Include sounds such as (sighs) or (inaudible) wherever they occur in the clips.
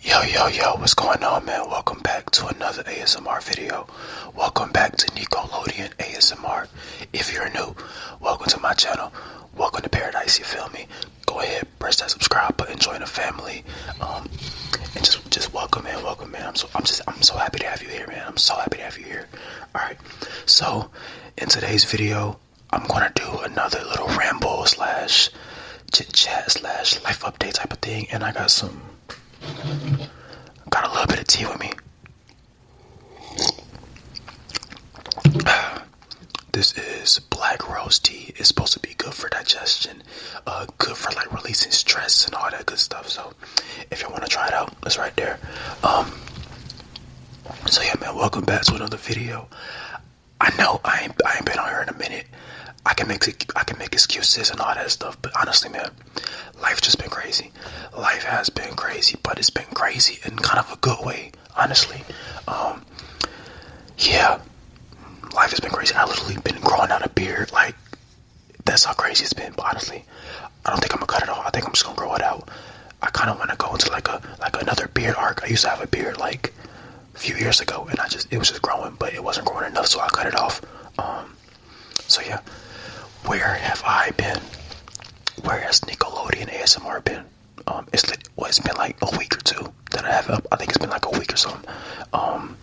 Yo, yo, yo, what's going on, man? Welcome back to another ASMR video. Welcome back to Nickelodeon ASMR. If you're new, welcome to my channel. Welcome to paradise, you feel me? Go ahead, press that subscribe button, join the family. Um, and just just welcome, in, welcome, man. I'm so I'm just I'm so happy to have you here, man. I'm so happy to have you here. Alright, so in today's video, I'm gonna do another little ramble slash chit chat slash life update type of thing, and I got some, got a little bit of tea with me. (sighs) This is black rose tea. It's supposed to be good for digestion, uh, good for like releasing stress and all that good stuff. So, if you want to try it out, it's right there. Um, so yeah, man, welcome back to another video. I know I ain't I ain't been on here in a minute. I can make I can make excuses and all that stuff, but honestly, man, life just been crazy. Life has been crazy, but it's been crazy in kind of a good way, honestly. Um, yeah, life has been crazy. I literally been growing out a beard, like that's how crazy it's been. But honestly, I don't think I'm gonna cut it off. I think I'm just gonna grow it out. I kind of want to go into like a like another beard arc. I used to have a beard like a few years ago, and I just it was just growing, but it wasn't growing enough, so I cut it off. Um, so yeah, where have I been? Where has Nickelodeon ASMR been? Um, it's well, it's been like a week or two that I have. I think it's been like a week or something. Um,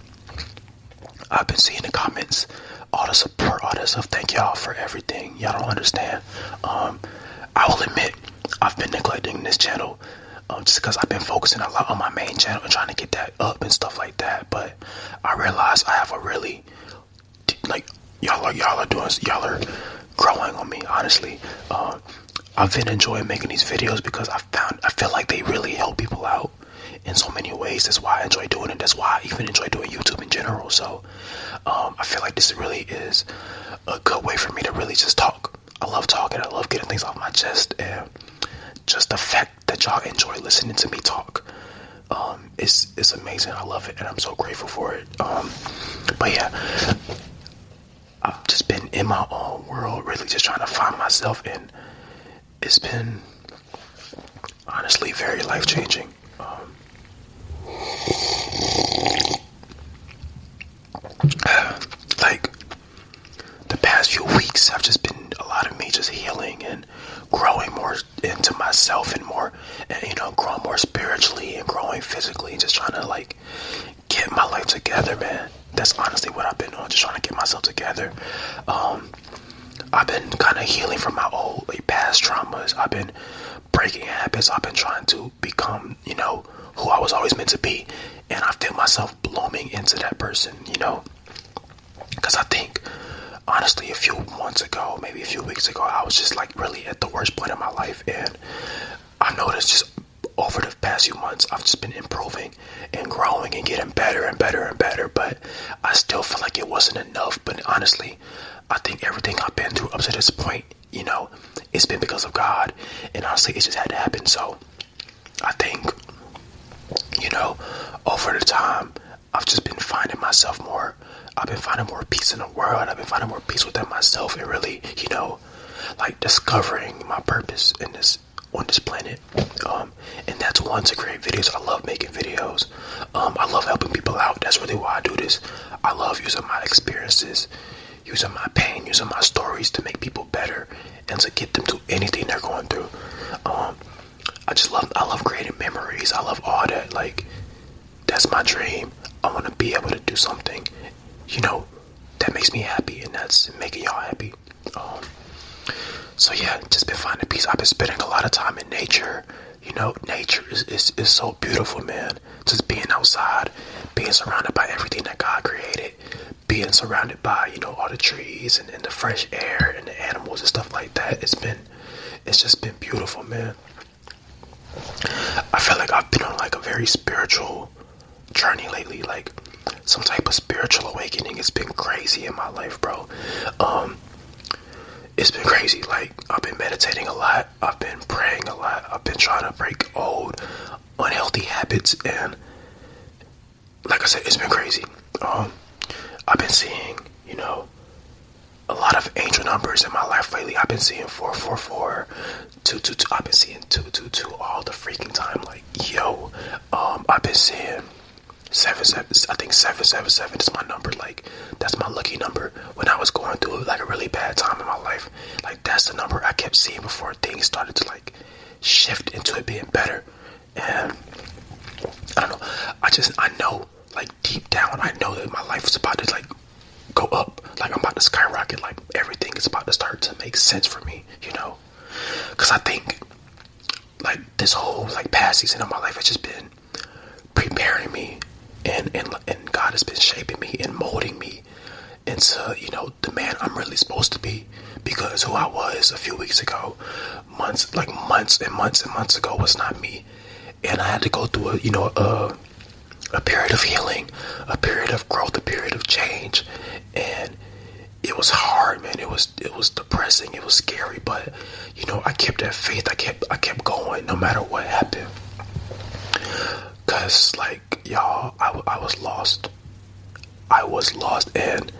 I've been seeing the comments, all the support, all this stuff. Thank y'all for everything. Y'all don't understand. Um, I will admit, I've been neglecting this channel um, just because I've been focusing a lot on my main channel and trying to get that up and stuff like that. But I realize I have a really like y'all are y'all are doing y'all are growing on me. Honestly, um, I've been enjoying making these videos because I found I feel like they really help people out in so many ways. That's why I enjoy doing it. That's why I even enjoy doing YouTube in general. So um, I feel like this really is a good way for me to really just talk I love talking. I love getting things off my chest, and just the fact that y'all enjoy listening to me talk um, is is amazing. I love it, and I'm so grateful for it. Um, but yeah, I've just been in my own world, really just trying to find myself, and it's been honestly very life changing. Um, (sighs) like the past few weeks i have just been a lot of me just healing and growing more into myself and more and you know growing more spiritually and growing physically and just trying to like get my life together man that's honestly what i've been on just trying to get myself together um, i've been kind of healing from my old like, past traumas i've been breaking habits i've been trying to become you know who i was always meant to be and I feel myself blooming into that person, you know. Because I think, honestly, a few months ago, maybe a few weeks ago, I was just like really at the worst point in my life, and I noticed just over the past few months, I've just been improving and growing and getting better and better and better, but I still feel like it wasn't enough. But honestly, I think everything I've been through up to this point, you know, it's been because of God, and honestly, it just had to happen. So, I think, you know, over the time, I've just been finding myself more. I've been finding more peace in the world. I've been finding more peace within myself and really, you know, like discovering my purpose in this on this planet. Um, and that's one to create videos. I love making videos. Um, I love helping people out. That's really why I do this. I love using my experiences, using my pain, using my stories to make people better and to get them through anything they're going through. Um, I just love I love creating memories. I love all that. Like that's my dream. I want to be able to do something, you know, that makes me happy, and that's making y'all happy. Um, so yeah, just been finding peace. I've been spending a lot of time in nature. You know, nature is, is so beautiful, man. Just being outside, being surrounded by everything that God created being surrounded by you know all the trees and, the fresh air and the animals and stuff like that it's been it's just been beautiful man i feel like i've been on like a very spiritual journey lately like some type of spiritual awakening it's been crazy in my life bro um it's been crazy like i've been meditating a lot i've been praying a lot i've been trying to break old unhealthy habits and like I said, it's been crazy. Um, I've been seeing, you know, a lot of angel numbers in my life lately. I've been seeing 444, 222. I've been seeing 222 all the freaking time. Like, yo, um, I've been seeing seven seven. I think seven seven seven is my number. Like, that's my lucky number. When I was going through like a really bad time in my life, like that's the number I kept seeing before things started to like shift into it being better. And I don't know. I just I know like deep down I know that my life is about to like go up. Like I'm about to skyrocket. Like everything is about to start to make sense for me. You know, because I think like this whole like past season of my life has just been preparing me, and and and God has been shaping me and molding me into you know the man I'm really supposed to be because who I was a few weeks ago, months like months and months and months ago was not me, and I had to go through a you know a a period of healing, a period of growth, a period of change, and it was hard, man. It was it was depressing. It was scary, but you know I kept that faith. I kept I kept going no matter what happened. Cause like y'all, I, I was lost. I was lost and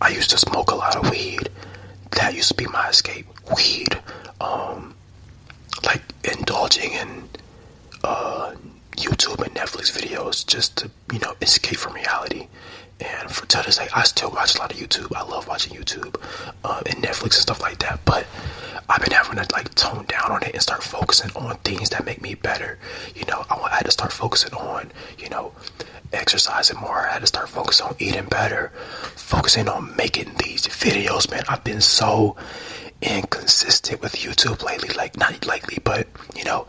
I used to smoke a lot of weed. That used to be my escape. Weed. Um like indulging in uh YouTube and Netflix videos just to, you know, escape from reality. And for today, I still watch a lot of YouTube. I love watching YouTube uh, and Netflix and stuff like that. But I've been having to like tone down on it and start focusing on things that make me better you know, I, had to start focusing on, you know, exercising more. I had to start focusing on eating better, focusing on making these videos, man. I've been so inconsistent with YouTube lately. Like not lately, but you know,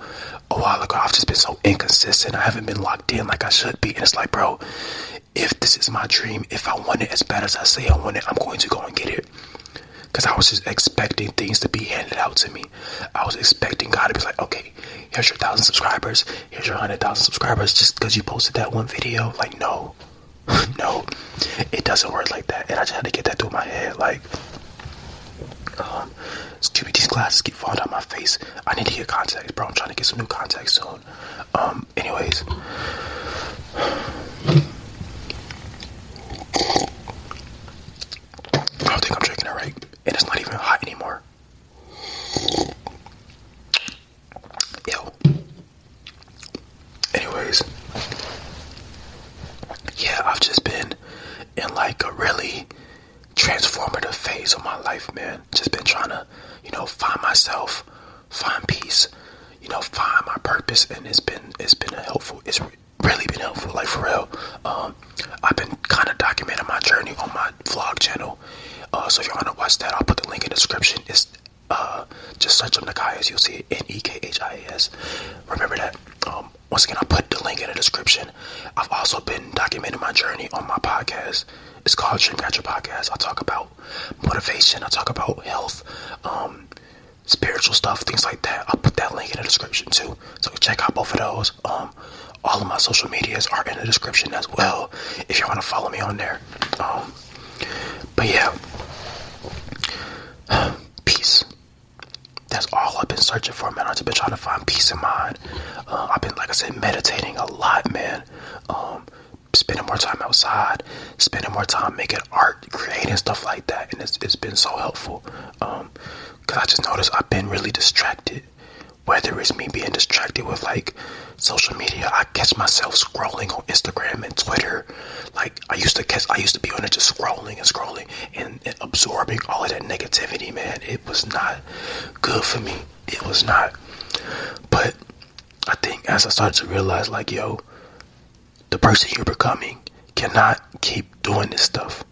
a while ago I've just been so inconsistent. I haven't been locked in like I should be. And it's like, bro, if this is my dream, if I want it as bad as I say I want it, I'm going to go and get it. Cause I was just expecting things to be handed out to me. I was expecting God to be like, okay, here's your thousand subscribers, here's your hundred thousand subscribers, just because you posted that one video. Like, no, (laughs) no, it doesn't work like that. And I just had to get that through my head. Like, excuse um, me, these glasses keep falling down my face. I need to get contacts, bro. I'm trying to get some new contacts soon. Um, anyways. I don't think I'm drinking it right. And it's not even hot anymore. Yo. Anyways. Yeah, I've just been in like a really transformative phase of my life, man. Just been trying to, you know, find myself, find peace, you know, find my purpose, and it's been it's been a helpful. It's really been helpful, like for real. Um, I've been kind of documenting my journey on my vlog channel. Uh, so if you want to watch that, I'll put the link in the description. It's uh, just search up Nikias, you'll see N E K H I A S. Remember that. Um, once again, i put the link in the description. I've also been documenting my journey on my podcast. It's called Dreamcatcher Podcast. I talk about motivation, I talk about health, um, spiritual stuff, things like that. I'll put that link in the description too. So check out both of those. Um, all of my social medias are in the description as well if you want to follow me on there. Um, but yeah, (sighs) peace. That's all I've been searching for, man. I've just been trying to find peace in mind. Uh, I've been, like I said, meditating a lot, man. Um, spending more time outside, spending more time making art, creating stuff like that, and it's, it's been so helpful. Because I just noticed I've been really distracted. Whether it's me being distracted with like social media, I catch myself scrolling on Instagram and Twitter. Like I used to catch, I used to be on it just scrolling and scrolling and, absorbing all of that negativity, man. It was not good for me. It was not. But I think as I started to realize, like, yo, the person you're becoming cannot keep doing this stuff.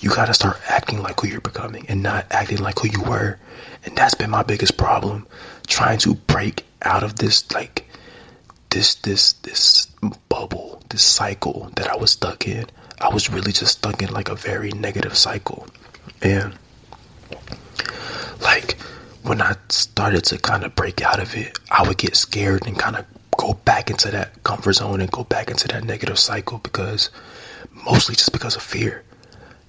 You got to start acting like who you're becoming and not acting like who you were. And that's been my biggest problem trying to break out of this like this this this bubble, this cycle that I was stuck in. I was really just stuck in like a very negative cycle. And like when I started to kind of break out of it, I would get scared and kind of go back into that comfort zone and go back into that negative cycle because mostly just because of fear.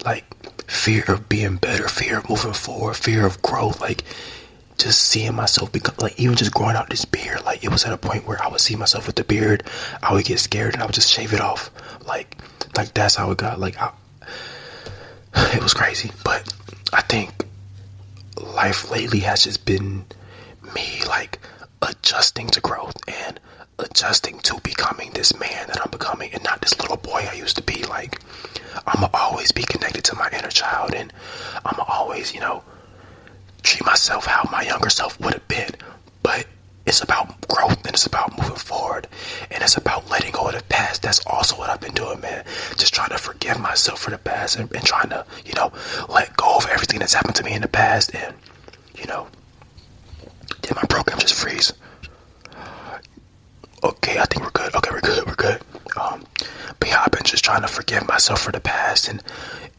Like fear of being better, fear of moving forward, fear of growth, like just seeing myself become like even just growing out this beard, like it was at a point where I would see myself with the beard, I would get scared and I would just shave it off. Like like that's how it got. Like (sighs) it was crazy. But I think life lately has just been me like adjusting to growth and adjusting to becoming this man that I'm becoming and not this little boy I used to be. Like, i am always be connected to my inner child and i am always, you know, treat myself how my younger self would have been. But it's about growth and it's about moving forward and it's about letting go of the past. That's also what I've been doing, man. Just trying to forgive myself for the past and trying to, you know, let go of everything that's happened to me in the past and you know, did my program just freeze? Okay, I think we're good. Okay, we're good. We're good. Um, but yeah, I've been just trying to forgive myself for the past and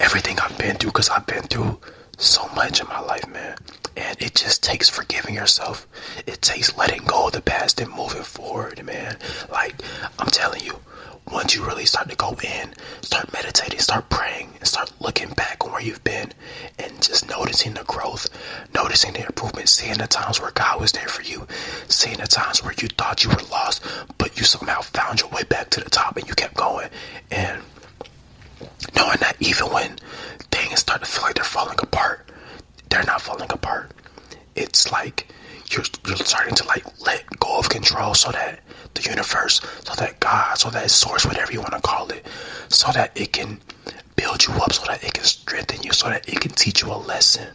everything I've been through because I've been through so much in my life, man. And it just takes forgiving yourself. It takes letting go of the past and moving forward, man. Like, I'm telling you, once you really start to go in, start meditating, start praying, and start looking back on where you've been and just noticing the growth, noticing the improvement, seeing the times where God was there for you, seeing the times where you thought you were lost, but you somehow found your way back to the top and you kept going. And knowing that even when things start to feel like they're falling apart, they're not falling apart. It's like you're starting to like let go of control so that the universe, so that God, so that source, whatever you want to call it, so that it can build you up, so that it can strengthen you, so that it can teach you a lesson.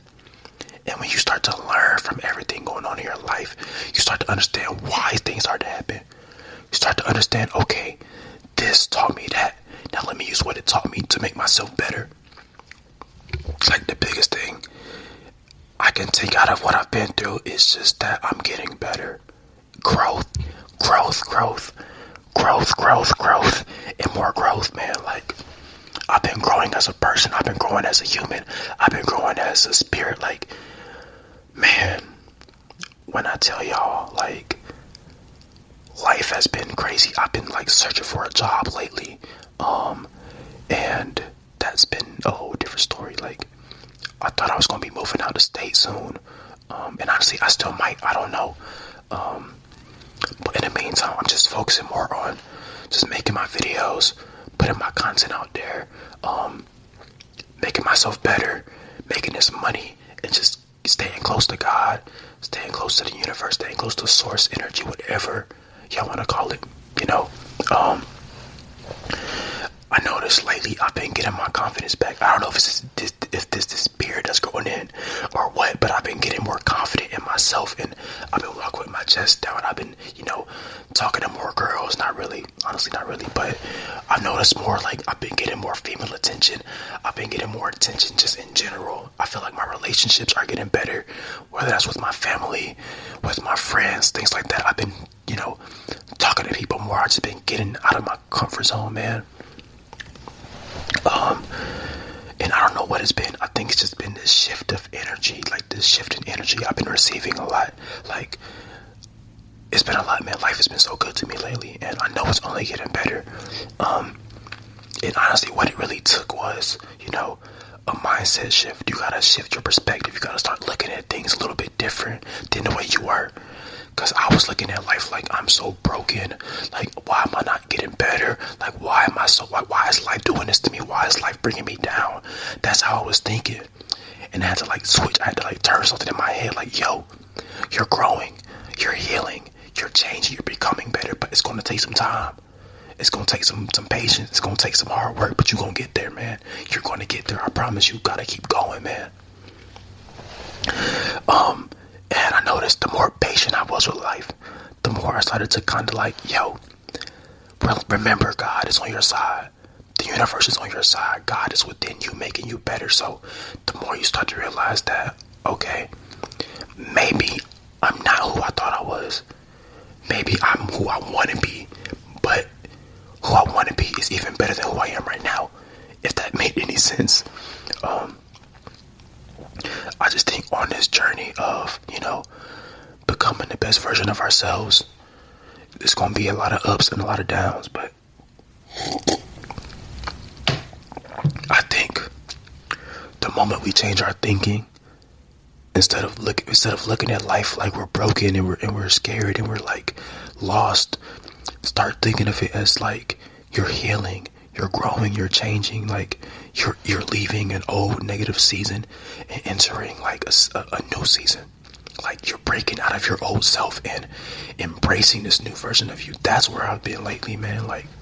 And when you start to learn from everything going on in your life, you start to understand why things start to happen. You start to understand, okay, this taught me that. Now let me use what it taught me to make myself better. like the biggest thing I can take out of what I've been through It's just that I'm getting better. Growth, growth, growth, growth, growth, growth, and more growth, man. Like, I've been growing as a person, I've been growing as a human, I've been growing as a spirit. Like, man, when I tell y'all, like, life has been crazy. I've been like searching for a job lately. Um, and that's been a whole different story. Like, I thought I was gonna be moving out of state soon, um, and honestly, I still might. I don't know. Um, but in the meantime, I'm just focusing more on just making my videos, putting my content out there, um, making myself better, making this money, and just staying close to God, staying close to the universe, staying close to source energy, whatever y'all want to call it. You know, I noticed lately I've been getting my confidence back. I don't know if it's this, if this this beard that's growing in or what, but I've been getting more confident in myself, and I've been walking with my chest down. I've been, you know, talking to more girls. Not really, honestly, not really, but I've noticed more. Like I've been getting more female attention. I've been getting more attention just in general. I feel like my relationships are getting better, whether that's with my family, with my friends, things like that. I've been you know, talking to people more. I've just been getting out of my comfort zone, man. Um, and I don't know what it's been. I think it's just been this shift of energy, like this shift in energy I've been receiving a lot. Like, it's been a lot, man. Life has been so good to me lately, and I know it's only getting better. Um, and honestly, what it really took was, you know, a mindset shift. You gotta shift your perspective. You gotta start looking at things a little bit different different than the way you were. Cause I was looking at life like I'm so broken. Like why am I not getting better? Like why am I so why, why is life doing this to me? Why is life bringing me down? That's how I was thinking. And I had to like switch. I had to like turn something in my head like, yo, you're growing, you're healing, you're changing, you're becoming better, but it's gonna take some time. It's gonna take some some patience. It's gonna take some hard work, but you're gonna get there, man. You're going to get there. I promise you. Gotta keep going, man. Um, and I noticed the more patient I was with life, the more I started to kind of like, yo, remember God is on your side. The universe is on your side. God is within you, making you better. So the more you start to realize that, okay, maybe I'm not who I thought I was. Maybe I'm who I want to be, but who I want to be is even better than who I am right now. If that made any sense. Um, I just think on this journey of, you know, becoming the best version of ourselves, there's going to be a lot of ups and a lot of downs, but I think the moment we change our thinking, instead of instead of looking at life like we're broken and we're and we're scared and we're like lost, start thinking of it as like you're healing, you're growing, you're changing, like you're you're leaving an old negative season and entering like a, a, a new season. Like you're breaking out of your old self and embracing this new version of you. That's where I've been lately, man. Like (sighs)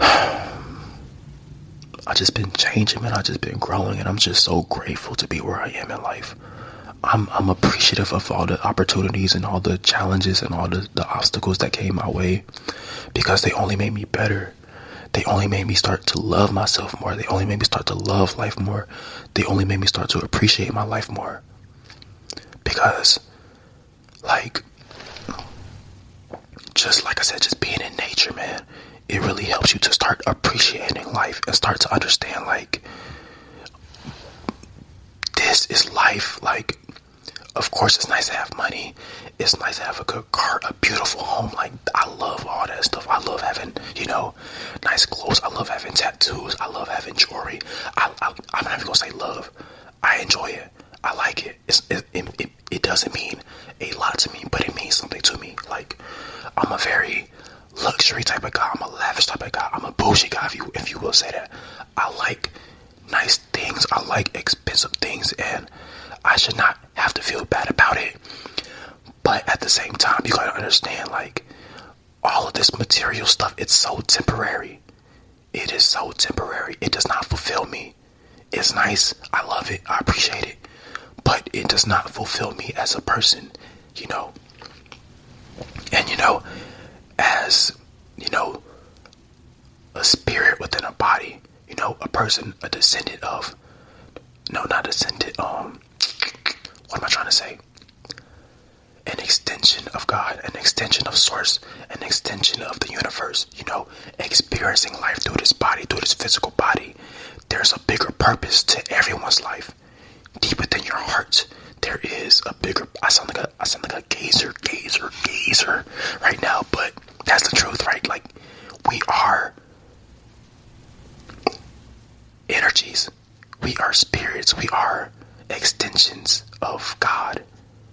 (sighs) I just been changing, man. I just been growing, and I'm just so grateful to be where I am in life. I'm I'm appreciative of all the opportunities and all the challenges and all the, the obstacles that came my way because they only made me better. They only made me start to love myself more. They only made me start to love life more. They only made me start to appreciate my life more. Because like just like I said, just being in nature, man it really helps you to start appreciating life and start to understand like this is life like of course it's nice to have money it's nice to have a good car a beautiful home like i love all that stuff i love having you know nice clothes i love having tattoos i love having jewelry i, am not even gonna say love i enjoy it i like it, it doesn't mean a lot to me but it means something to me like i'm a very luxury, type of guy. I'm a lavish type of guy. I'm a bullshit guy, if you if you will say that. I like nice things. I like expensive things, and I should not have to feel bad about it. But at the same time, you gotta understand, like all of this material stuff, it's so temporary. It is so temporary. It does not fulfill me. It's nice. I love it. I appreciate it but it does not fulfill me as a person, you know. And you know, as you know, a spirit within a body, you know, a person, a descendant of, no, not descendant, um, what am I trying to say? An extension of God, an extension of Source, an extension of the universe, you know, experiencing life through this body, through this physical body. There's a bigger purpose to everyone's life. Deeper than your heart, there is a bigger. I sound like a I sound like a gazer, gazer, gazer right now, but that's the truth, right? Like we are energies, we are spirits, we are extensions of God.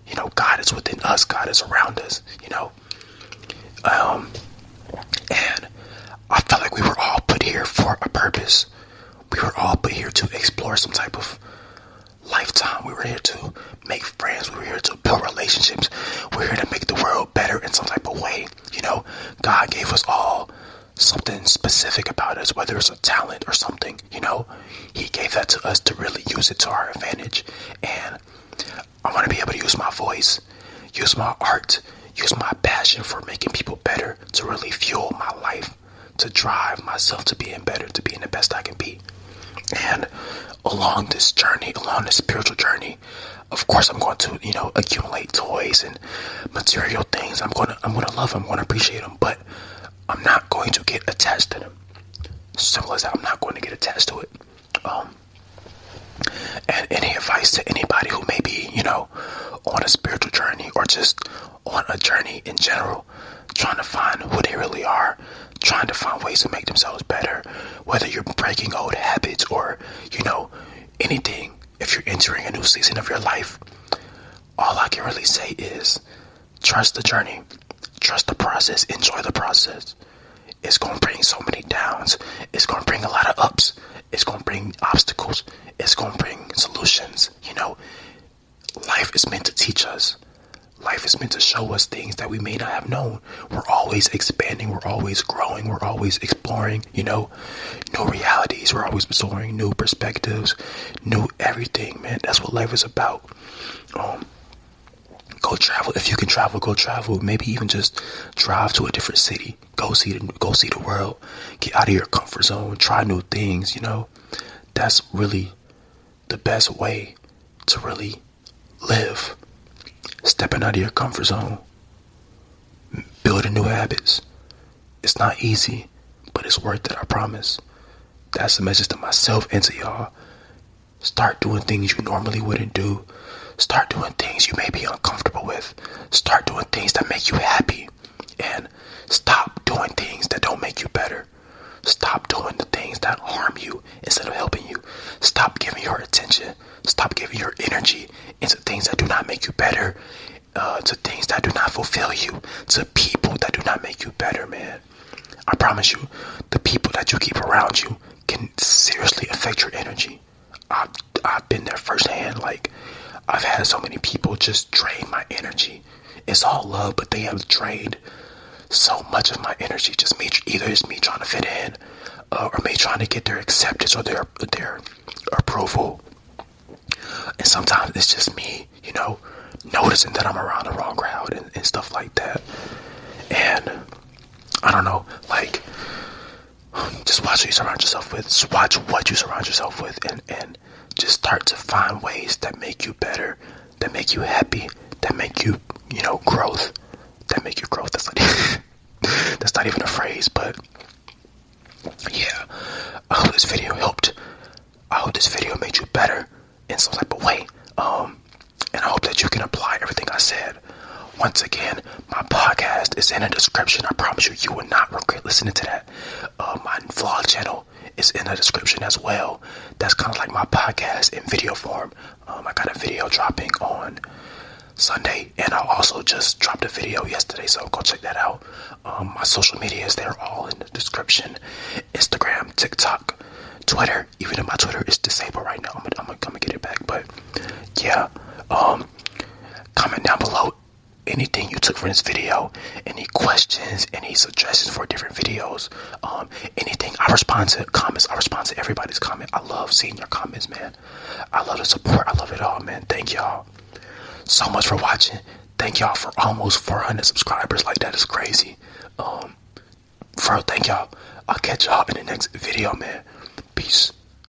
You know, God is within us. God is around us. You know, um, and I felt like we were all put here for a purpose. We were all put here to explore some type of lifetime. We were here to make friends. We were here to build relationships. We're here to make the world better in some type of way. You know, God gave us all something specific about us, whether it's a talent or something, you know, He gave that to us to really use it to our advantage. And I want to be able to use my voice use my art, use my passion for making people better to really fuel my life, to drive myself to being better, to being the best I can be. And along this journey, along this spiritual journey, of course I'm going to, you know, accumulate toys and material things. I'm gonna I'm gonna love them, I'm gonna appreciate them, but I'm not going to get attached to them. Simple as that, I'm not going to get attached to it. Um, and any advice to anybody who may be, you know, on a spiritual journey or just on a journey in general, trying to find who they really are, trying to find ways to make themselves better, whether you're breaking old habits or, you know, anything, if you're entering a new season of your life, all I can really say is trust the journey, trust the process, enjoy the process. It's going to bring so many downs, it's going to bring a lot of ups, it's going to bring obstacles. It's going to bring solutions. You know, life is meant to teach us. Life is meant to show us things that we may not have known. We're always expanding. We're always growing. We're always exploring, you know, new realities. We're always exploring new perspectives, new everything, man. That's what life is about. Um, go travel. If you can travel, go travel. Maybe even just drive to a different city go see the go see the world, get out of your comfort zone, try new things, you know. That's really the best way to really live. Stepping out of your comfort zone, building new habits. It's not easy, but it's worth it, I promise. That's the message to myself and to y'all. Start doing things you normally wouldn't do. Start doing things you may be uncomfortable with. Start doing things that make you happy. And stop doing things that don't make you better. Stop doing the things that harm you instead of helping you. Stop giving your attention. Stop giving your energy into things that do not make you better, uh, to things that do not fulfill you, to people that do not make you better, man. I promise you, the people that you keep around you can seriously affect your energy. I've, I've been there firsthand. Like, I've had so many people just drain my energy. It's all love, but they have drained so much of my energy. Just me, either it's me trying to fit in, uh, or me trying to get their acceptance or their their approval. And sometimes it's just me, you know, noticing that I'm around the wrong crowd and stuff like that. And I don't know, like just watch who you surround yourself with. watch what you surround yourself with, and and just start to find ways that make you better, that make you happy, that make you you know growth, that make you growth. That's like (laughs) that's not even a phrase, but yeah. I hope this video helped. I hope this video made you better in some type of way. Um, and I hope that you can apply everything I said once again, my podcast is in the description. I promise you, you will not regret listening to that. Uh, my vlog channel is in the description as well. That's kind of like my podcast in video form. Um, I got a video dropping on Sunday, and I also just dropped a video yesterday, so go check that out. Um, my social media is there all in the description Instagram, TikTok, Twitter. Even though my Twitter is disabled right now, I'm, I'm, I'm gonna get it back, but yeah. Um, Comment down below anything you took from this video, any questions, any suggestions for different videos, um, anything. I respond to comments. I respond to everybody's comment. I love seeing your comments, man. I love the support. I love it all, man. Thank y'all so much for watching. Thank y'all for almost 400 subscribers. Like that is crazy. Um, for thank y'all. I'll catch y'all in the next video, man. Peace.